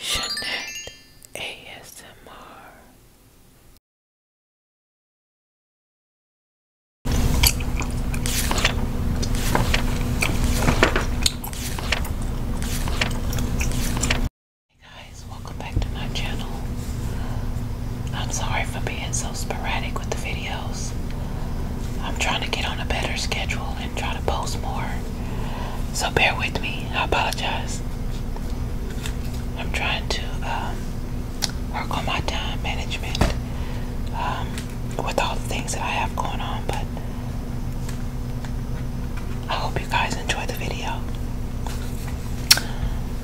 Jeanette ASMR. Hey guys, welcome back to my channel. I'm sorry for being so sporadic with the videos. I'm trying to get on a better schedule and try to post more. So bear with me I apologize. I'm trying to um, work on my time management um, with all the things that I have going on, but I hope you guys enjoy the video.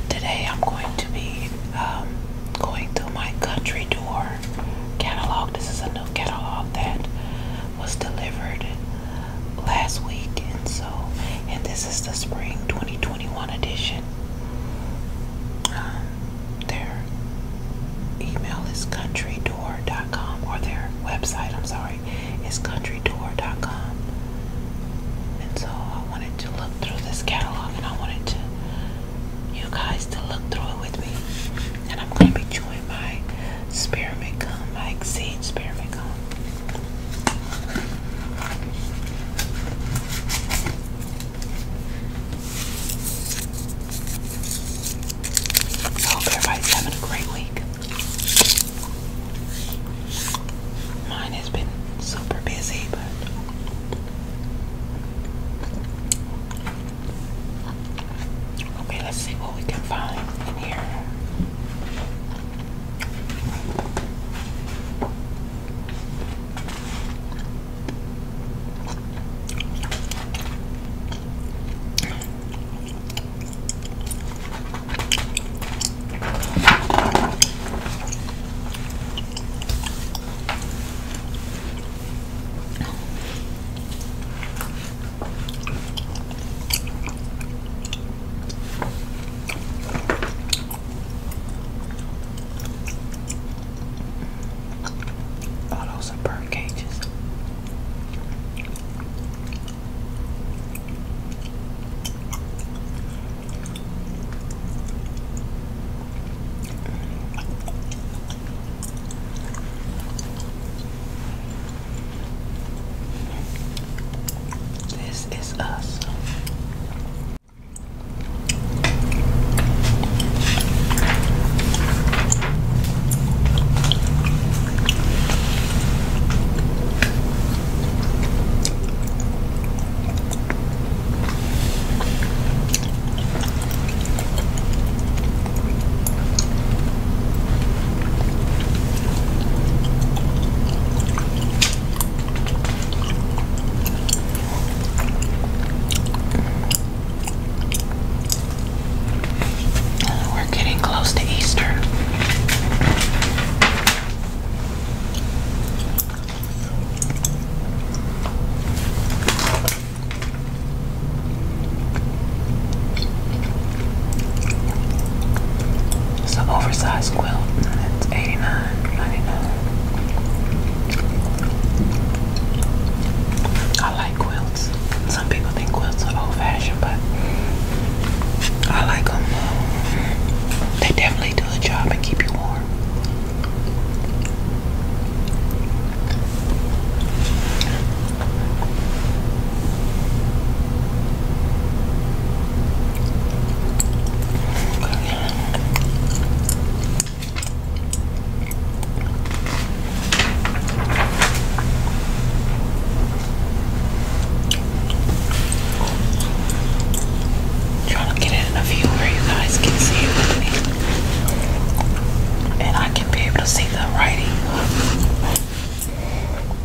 Today I'm going to be um, going through my country door catalog. This is a new catalog that was delivered last week, and so, and this is the spring 2021 edition. Um, their email is countrydoor.com, or their website, I'm sorry, is countrydoor.com. And so, I wanted to look through this catalog, and I wanted to you guys to look through it with me, and I'm gonna be chewing my spearmint come. like seed spearmint gum. I hope everybody's having a great week. Mine has been super busy, but Okay, let's see what we can find in here. All those are bird cages. This is us. We're getting close to Easter. It's an oversized quilt and it's 89 dollars I like quilts. Some people think quilts are old fashioned, but I like them. They definitely do a job and keep you warm. Trying to get in a view where you guys can see it And I can be able to see the writing.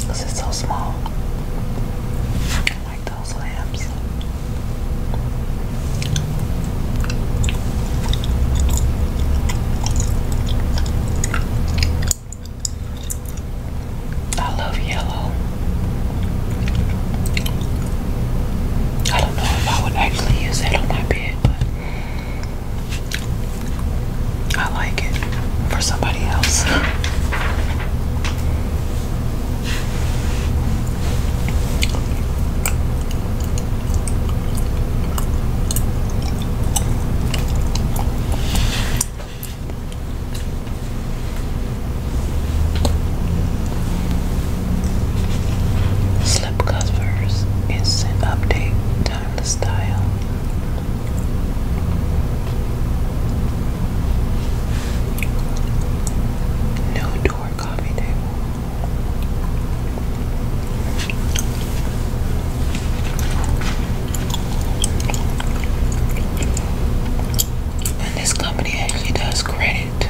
This is so small. I like those lamps. I love yellow. I don't know if I would actually use that on my bed, but I like it for somebody else. Slip instant update not door coffee table. And this company actually does credit too.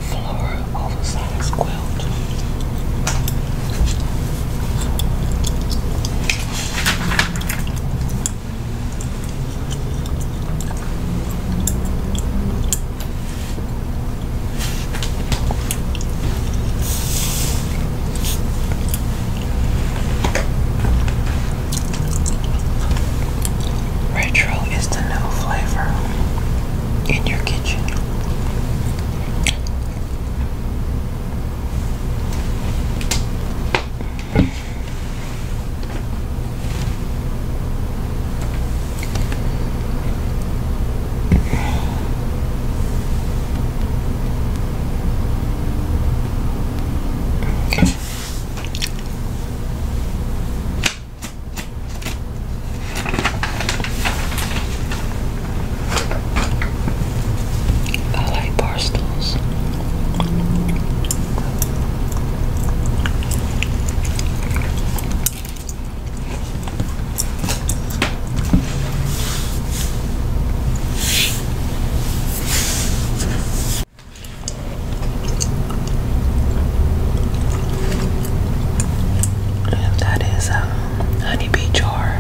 floral oversized quilt. Retro is the new flavor in your kitchen. I like parcels. That is a honeybee jar.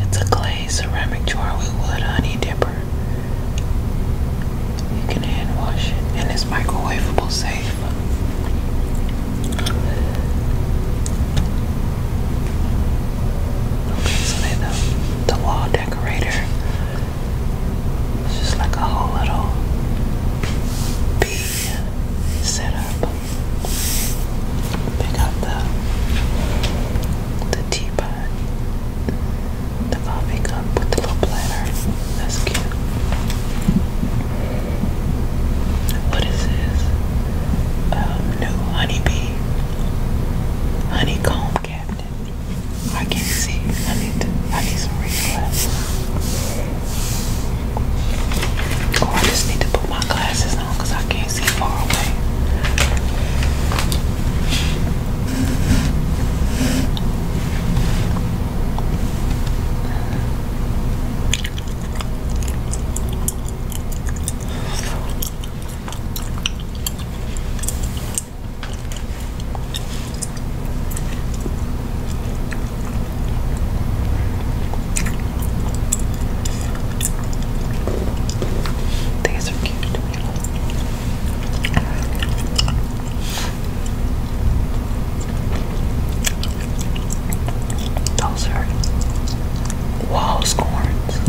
It's a clay ceramic jar with wood honey dipper. You can hand wash it, and it's microwaveable safe. Okay, so then the wall decorator it's just like a whole little bee set up. got the the teapot, the coffee cup with the little platter. That's cute. What is this? Um, new honeybee honeycomb cabinet. I can't see. I need to, I need some reading glasses. Or oh, I just need to put my glasses on because I can't see far away. These are cute. Those are wall scorns.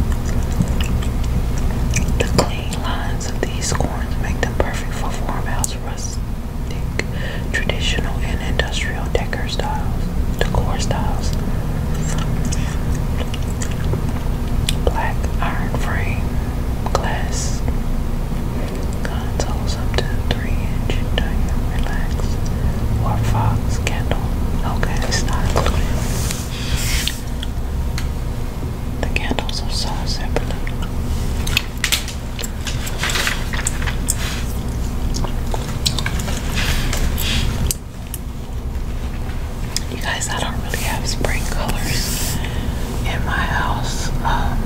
The clean lines of these scorns make them perfect for farmhouse rusts thick traditional and industrial decor styles, decor styles. Black iron frame, glass consoles up to three inch diameter, relax, or candle. Okay, it's not The candles are sold separately. You guys, I don't really have spring colors in my house. Um,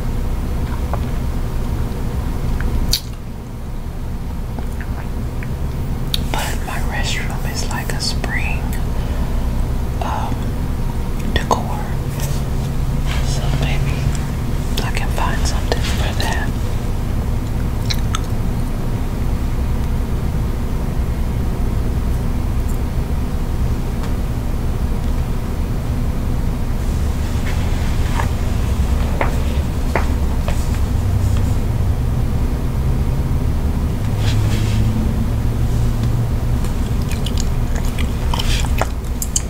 but my restroom is like a spring um, decor. So maybe I can find something for that.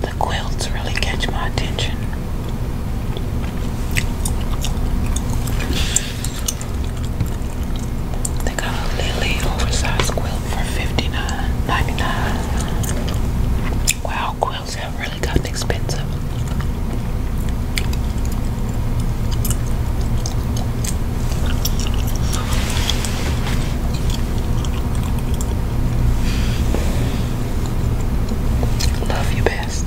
The quilts really catch my attention. They got a lily oversized quilt for Wow, quilts have really gotten expensive. Love you best.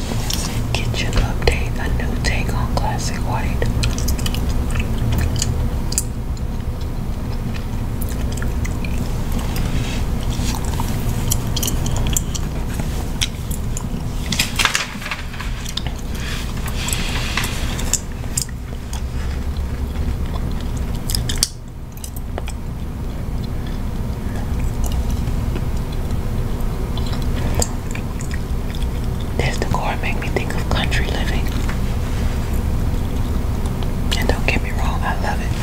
Kitchen update, a new take on classic white. This decor made me think of country living. And don't get me wrong, I love it.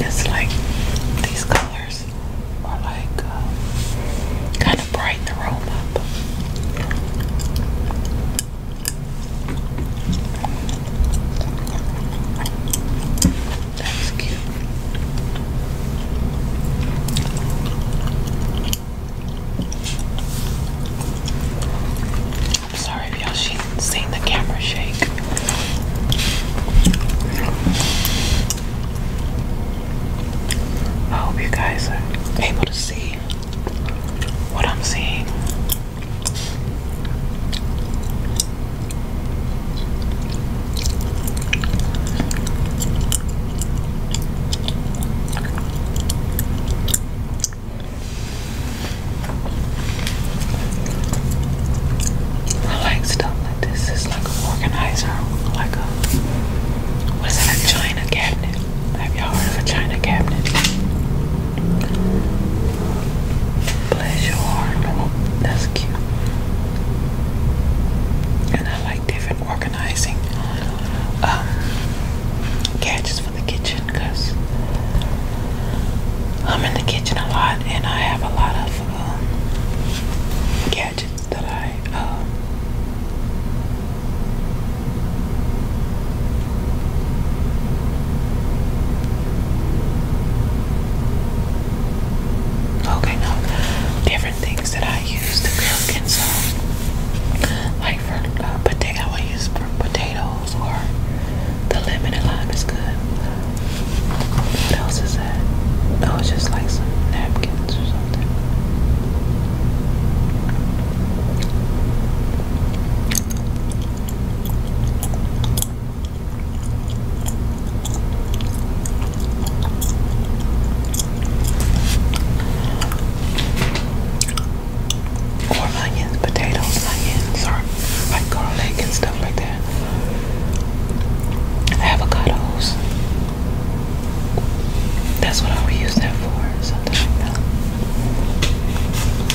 It's like these colors are like uh, kind of brighten the room up. That's cute. I'm sorry if y'all seen the camera shake. I hope you guys are able to see what I'm seeing. I like stuff like this. It's like an organizer, like a what is that? A china cabinet. Have y'all heard of a china cabinet? Bless your heart. that's cute. And I like different organizing um, gadgets for the kitchen I'm in the kitchen a lot and I have a lot of um, gadgets that I um, Okay, no. Different things that I use to cook and so like for uh, potato, I use for potatoes or the lemon and lime is good. What else is that? Oh, it's just like some napkins or something. Or onions, potatoes, onions, or like garlic and stuff like that. Avocados. That's what I would use that for, something like that.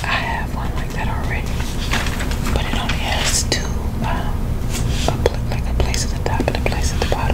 I have one that already, but it only has two, uh, like a place at the top and a place at the bottom.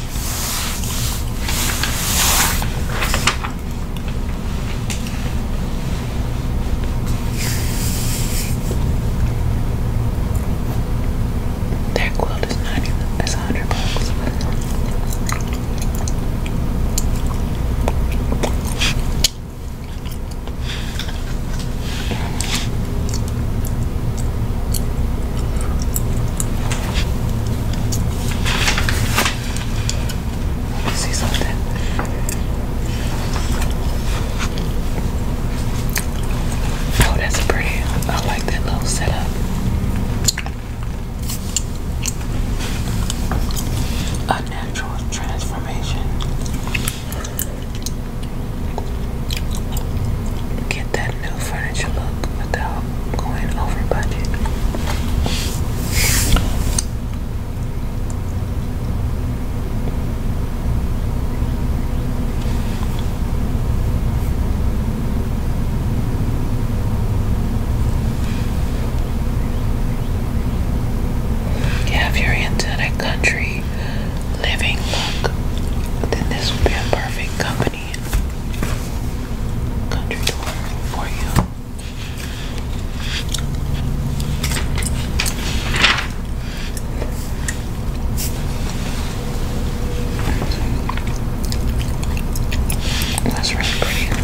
That quilt is not even, it's a hundred bucks. See something? Oh, that's pretty. I like that little setup. A natural transformation get that new furniture look without going over budget. if you're into that country living look, then this would be a perfect company. Country tour for you. That's really pretty.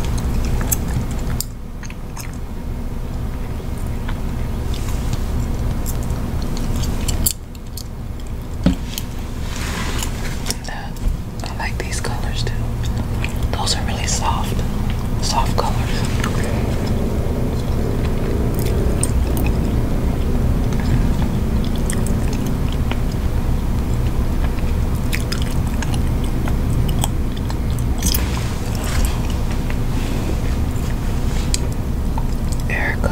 Uh, I like these colors too. Those are really soft, soft colors. Erica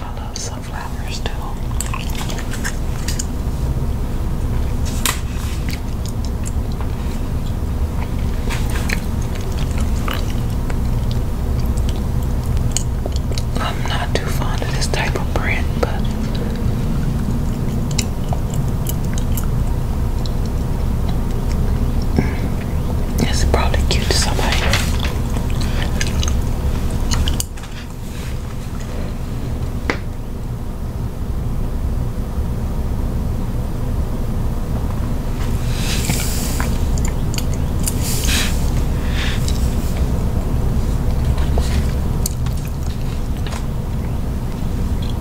I love sunflowers too. I'm not too fond of this type of print, but it's probably cute to somebody.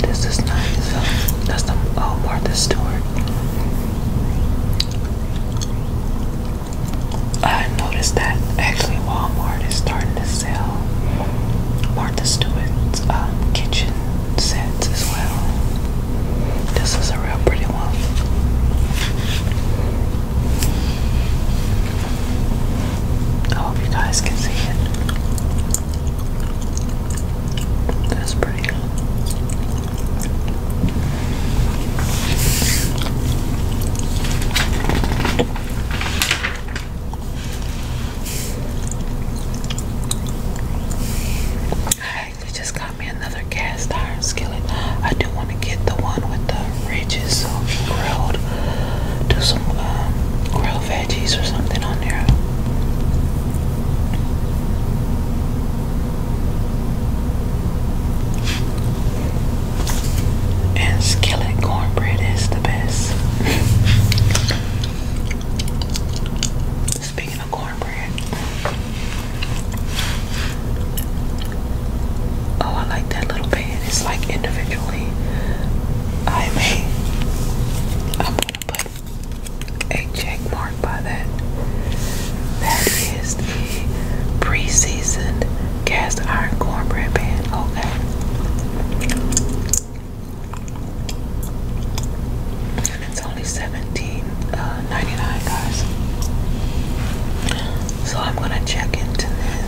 This is nice. That's the Walmart. Oh, Martha Stewart. I noticed that actually Walmart is starting to sell Martha Stewart's um, kitchen sets as well. This is a real pretty one. I hope you guys can see it. That's pretty good. I actually just got me another cast iron skillet. I do want to get the one with the ridges so um, grilled do some um, grilled veggies or something on there. And skillet cornbread is the best. Speaking of cornbread, oh, I like that little pan is like individually. I mean, I'm gonna put a check mark by that. That is the pre-seasoned cast iron cornbread pan. Okay. it's only seventeen uh, ninety nine, guys. So I'm gonna check into this.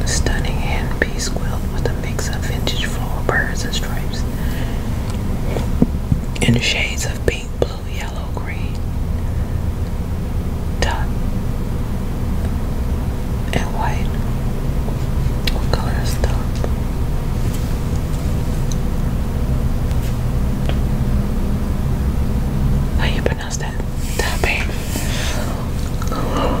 The stunning handpiece quilt with a mix of vintage floral birds and stripes in shades of pink, blue, yellow, green, top, and white. What color is top? How you pronounce that? Tape. Okay.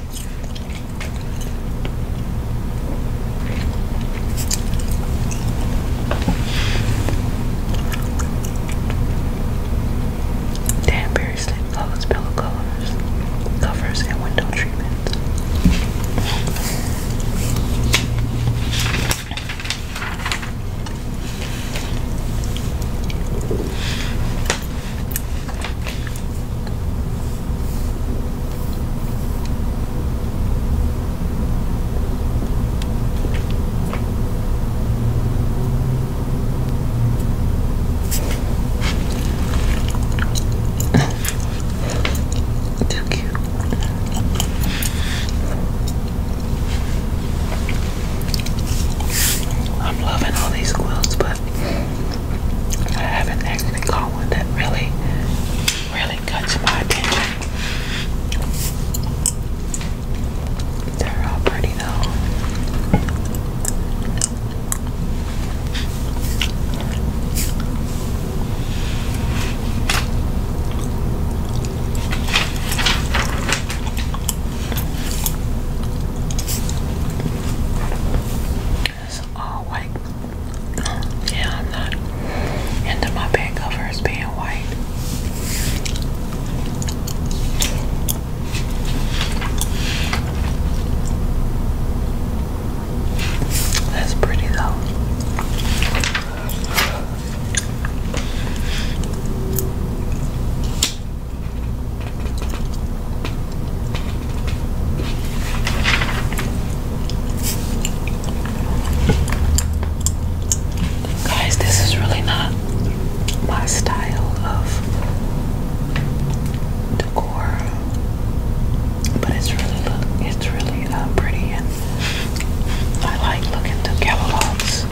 Danbury sleep clothes, pillow covers, covers, and window treatments. Too cute. I'm loving all these quilts, but I haven't actually caught one that really, really cuts my attention. They're all pretty though. It's all white. Yeah, I'm not into my bed covers being white. That's pretty though. Guys, this is really not my style of decor, but it's really look, it's really uh, pretty, and I like looking through catalogs.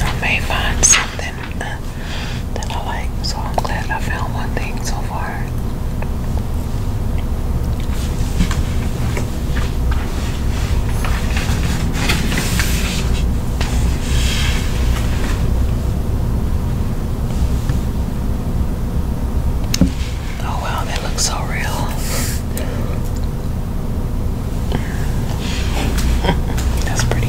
I may find that uh, I like. So I'm glad I found one thing so far. Oh wow, that looks so real. That's pretty.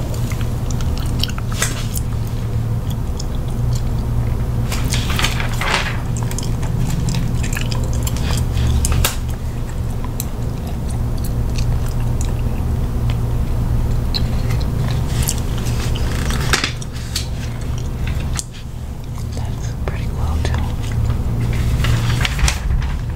That's pretty well done.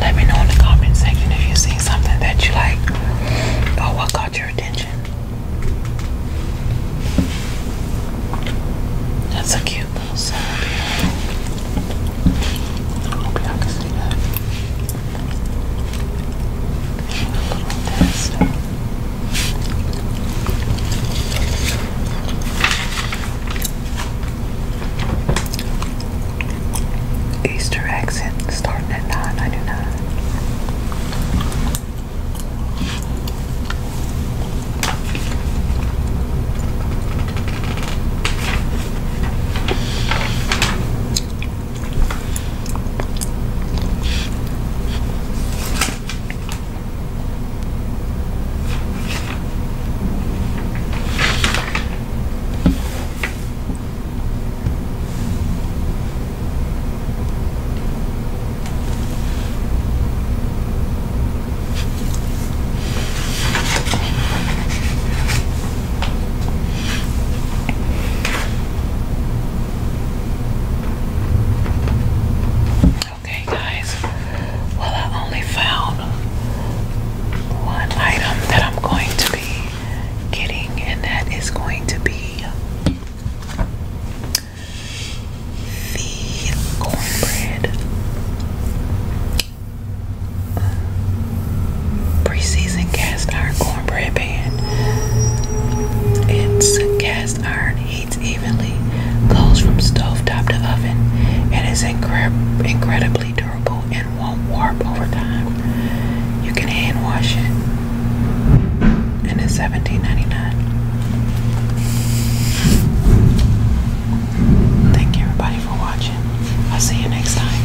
Let me know in the comment section if you see something that you like or what caught your attention. That's a cute little sound. Easter accent in, starting at nine ninety nine. Okay, guys. Well, I only found one item that I'm going to be getting, and that is going to be the cornbread preseason cast iron cornbread pan. It's cast iron, heats evenly, goes from stove top to oven, and is incredibly durable won't warp over time. You can hand wash it, and it's 17 Thank you, everybody, for watching. I'll see you next time.